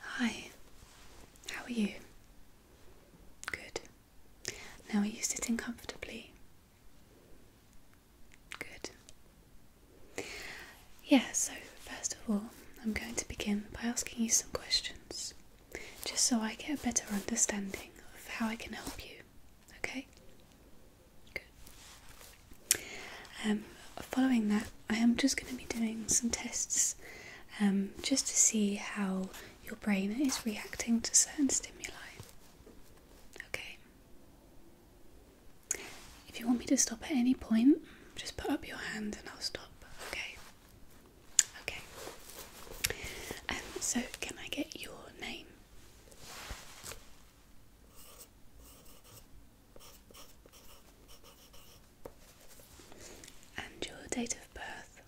Hi, how are you? Good. Now, are you sitting comfortably? Good. Yeah, so first of all, I'm going to begin by asking you some questions just so I get a better understanding of how I can help you Okay? Good. Um, following that, I am just going to be doing some tests um, just to see how your brain is reacting to certain stimuli. Okay? If you want me to stop at any point, just put up your hand and I'll stop. Okay. Okay. Um, so, can I get your name? and your date of birth.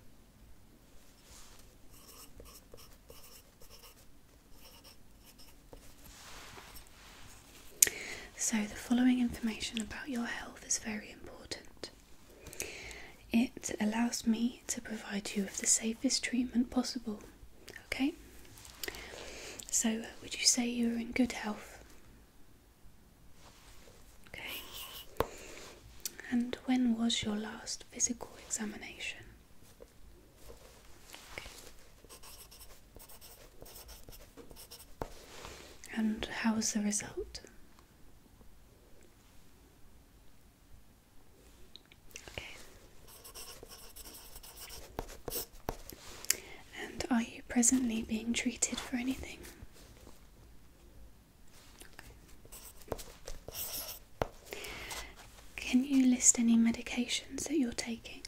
So, the following information about your health is very important it allows me to provide you with the safest treatment possible. Okay? So, would you say you're in good health? Okay. And when was your last physical examination? And how was the result? And are you presently being treated for anything? Can you list any medications that you're taking?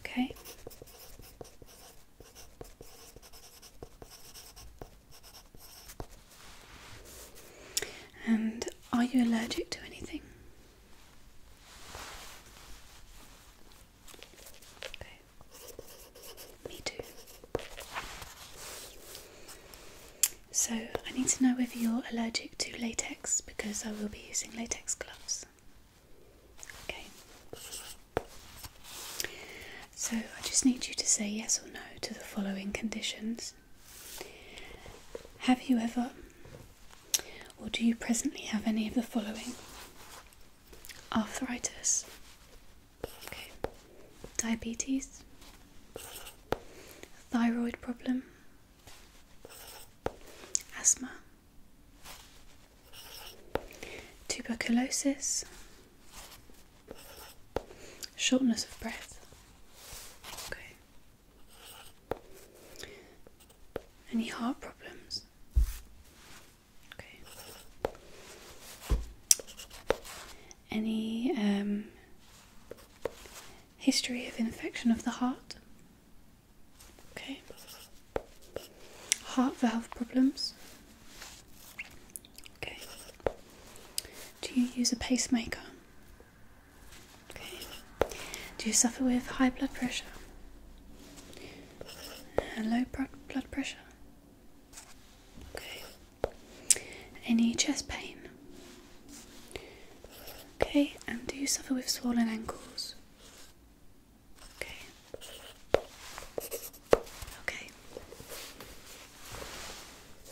Okay. And are you allergic to anything? Me too. So I need to know if you're allergic to latex because I will be using latex gloves. Okay. So I just need you to say yes or no to the following conditions. Have you ever, or do you presently have any of the following? Arthritis, diabetes, thyroid problem, asthma, tuberculosis, Shortness of breath. Okay. Any heart problems? Okay. Any um, history of infection of the heart? Okay. Heart valve problems? Okay. Do you use a pacemaker? Okay. Do you suffer with high blood pressure? low blood pressure? Okay. Any chest pain? Okay, and do you suffer with swollen ankles? Okay. Okay.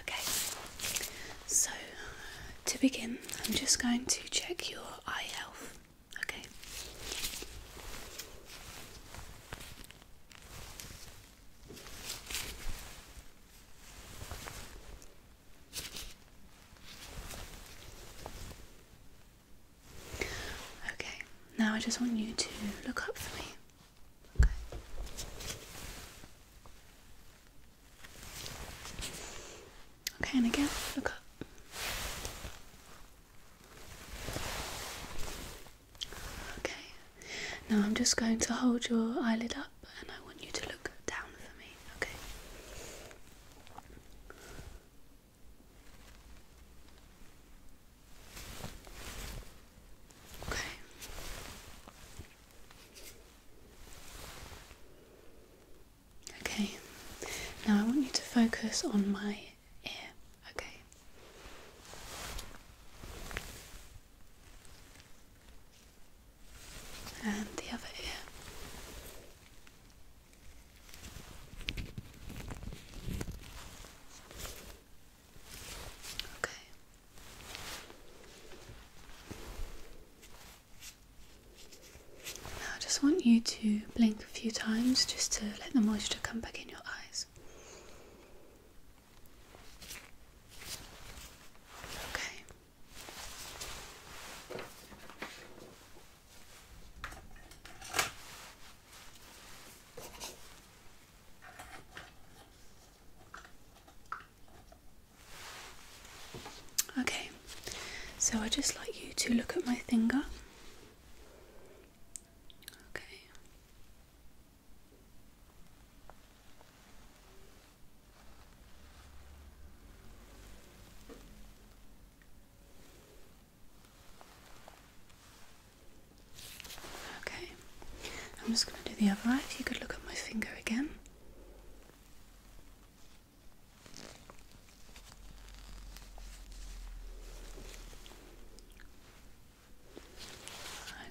Okay, so to begin, I'm just going to check your eye health. Okay. Okay, now I just want you to look up for me. Okay. Okay, and again, look up. Okay, now I'm just going to hold your eyelid up and I want you to look down for me, okay? Okay. Okay. Now I want you to focus on my ear, okay? And the other ear. Okay. Now I just want you to blink a few times just to let the moisture come back in your eyes. Okay. Okay, so I'd just like you to look at my finger Okay. Okay. I'm just going to do the other eye. If you could look at my finger again.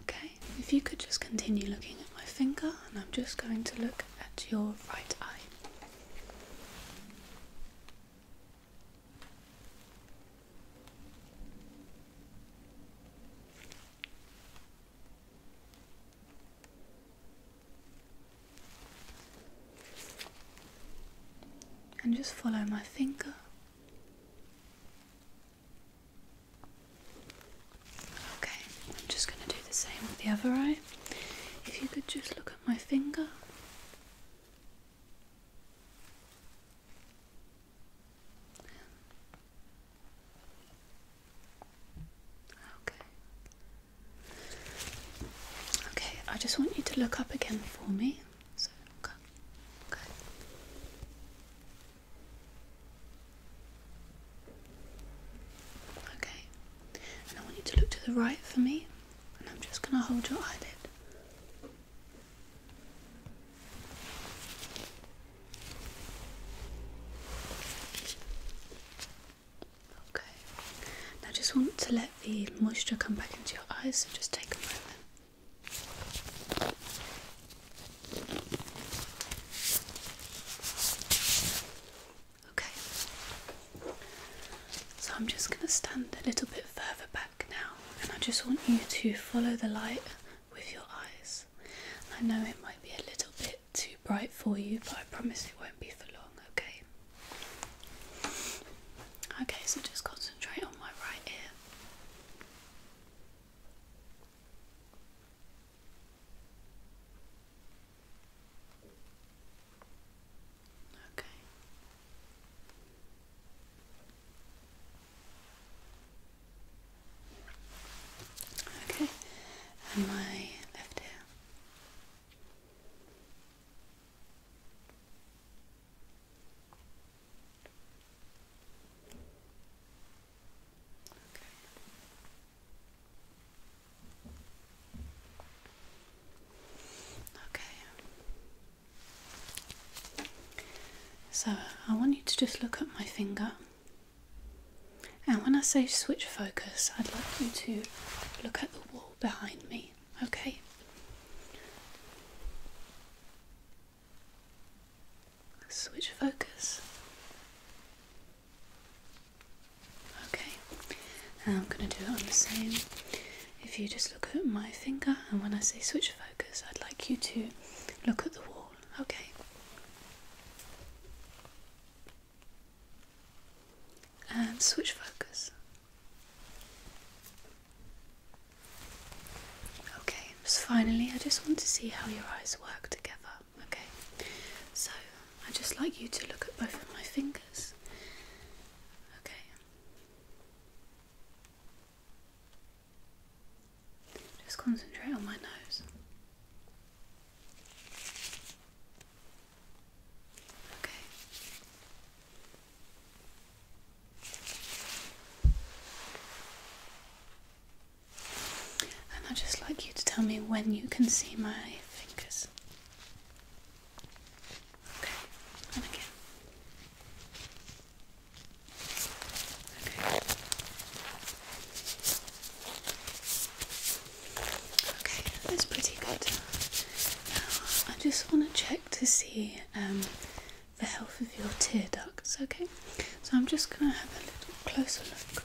Okay, if you could just continue looking at my finger, and I'm just going to look at your right eye. And just follow my finger Okay, I'm just going to do the same with the other eye. If you could just look at my finger. Okay. Okay, I just want you to look up again for me. So okay. okay. Okay. And I want you to look to the right for me, and I'm just gonna hold your eyelid. Okay. Now just want to let the moisture come back into your eyes, so just take a moment. Okay, so I'm just going to stand a little bit further back now, and I just want you to follow the light with your eyes. I know it might be a little bit too bright for you, but I promise it won't be for long, okay? Okay, so just concentrate on my right ear. Okay. Okay, and my left ear. Okay. So I want you to just look at my finger. And when I say switch focus, I'd like you to look at the wall behind me. Okay. Switch focus. Okay, I'm going to do it on the same. If you just look at my finger, and when I say switch focus, I'd like you to look at the wall, okay? And um, switch focus. Okay, finally, I just want to see how your eyes work together. Okay, so I'd just like you to look at both of my fingers. Okay, just concentrate on my nose. Okay, and I'd just like you to tell me when you can see my fingers. Okay, and again. Okay. Okay, that's pretty good. I just want to check to see um, the health of your tear ducts, okay? So I'm just going to have a little closer look.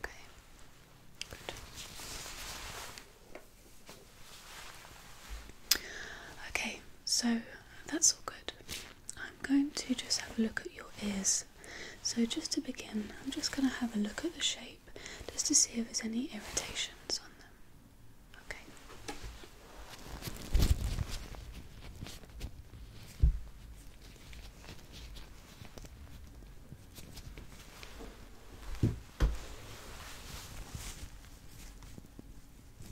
Okay. Okay. Good. Okay, so that's all good. I'm going to just have a look at your ears. So, just to begin, I'm just going to have a look at the shape just to see if there's any irritations on them. Okay.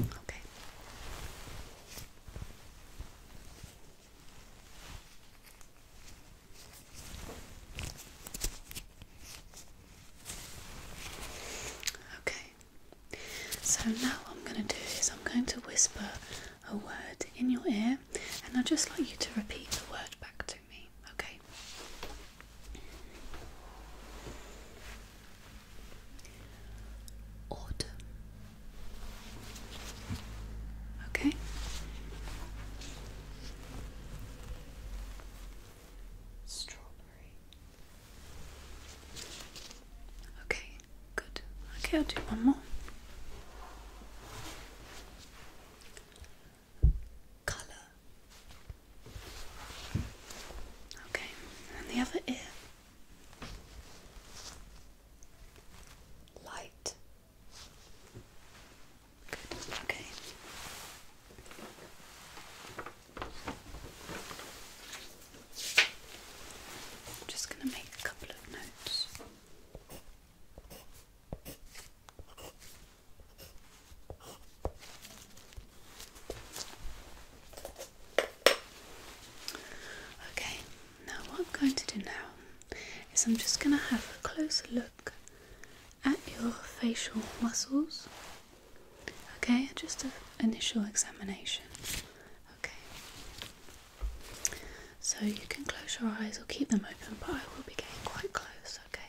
Okay. Okay. So now what I'm going to do is I'm going to whisper a word in your ear and I'd just like you to repeat the word back to okay? Autumn. Okay. Strawberry. Okay, good. Okay, I'll do one more colour. Okay, and the other ear. Light. Good, okay. I'm just going to make a couple of notes. Okay, now what I'm going to do now is I'm just going to have a closer look at your facial muscles. Okay, just an initial examination. Okay, so you can close your eyes or keep them open, but I will be getting quite close. Okay,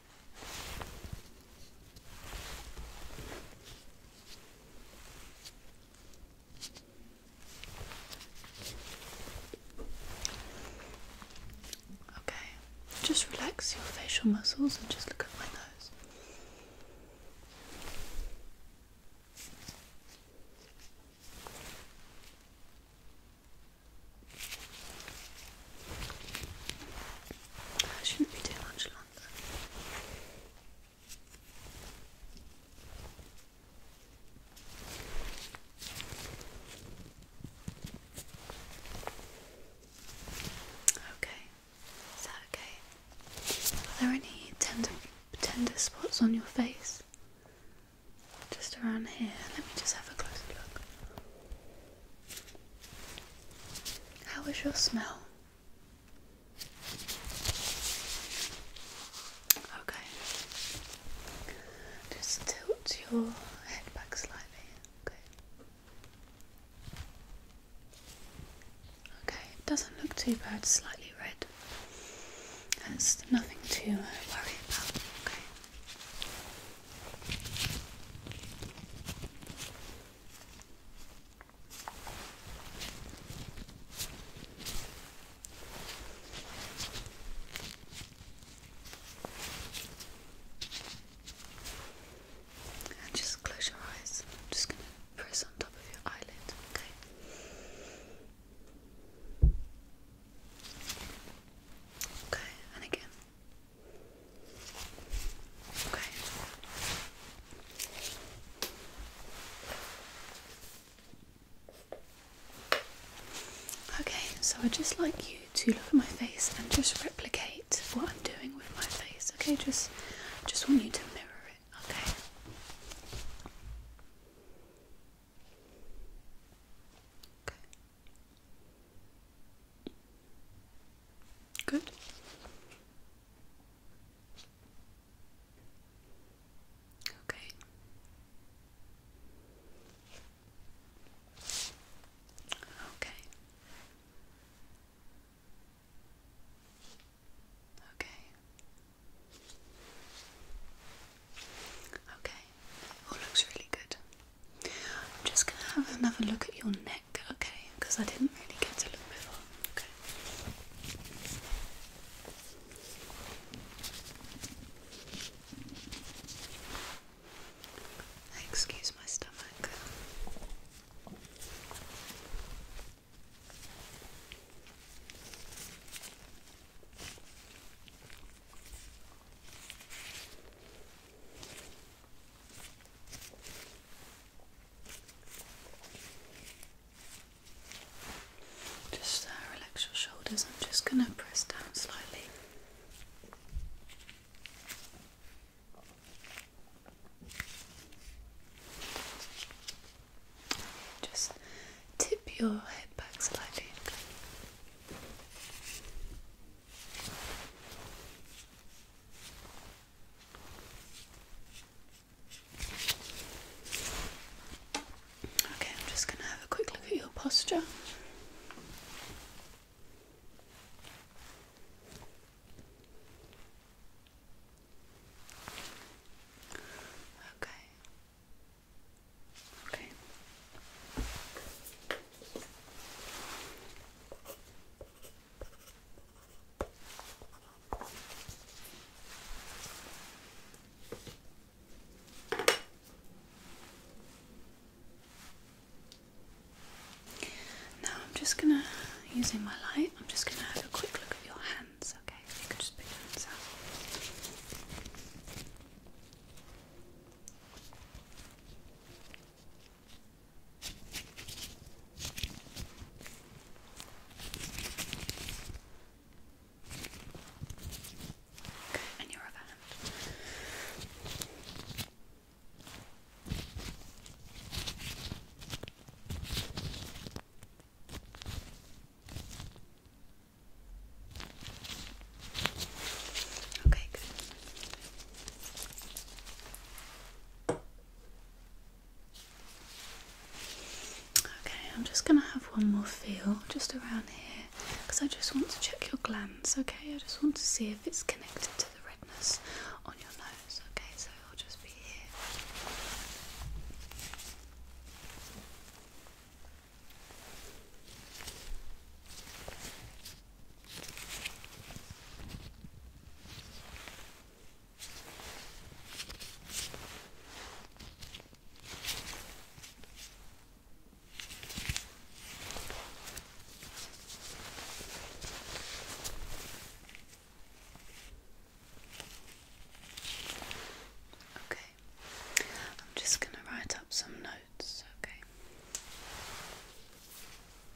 Okay, just relax your facial muscles and just look at my nose shouldn't be too much longer. Okay, is that okay? Are there any tender, tender spots on your face? Just around here. Let me just have a closer look. How is your smell? Okay. Just tilt your head back slightly. Okay. Okay, it doesn't look too bad, slightly red. That's nothing to worry about. Okay just close your eyes. I'm just going to press on top of your eyelid, okay? Okay, and again. Okay. Okay, so I'd just like you to look at my face and just replicate what I'm doing with my face. Okay, just just want you to mirror it, okay? Okay. Good. Okay. Okay. Okay. Okay. All looks really good. I'm just going to have another look at your neck, okay? Because I didn't really get to look before, okay? Excuse my stomach. Just uh, relax your shoulders. I'm just going to press down slightly. Just tip your head back slightly. Okay, I'm just going to have a quick look at your posture. Okay. Okay. Now I'm just gonna, using my light, I'm just gonna have a quick look at your hands, okay? you could just put your hands Okay, and your other hand. Okay, good. Okay, I'm just going to have one more feel just around here because I just want to check your glands, okay? I just want to see if it's connected to the redness on your nose, okay? So I'll just be here. Okay, I'm just going to write up some notes, okay?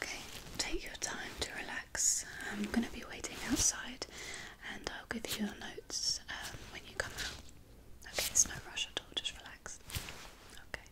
Okay, take your time to relax. I'm going to be waiting outside and I'll give you your notes um, when you come out. Okay, it's no rush at all, just relax. Okay.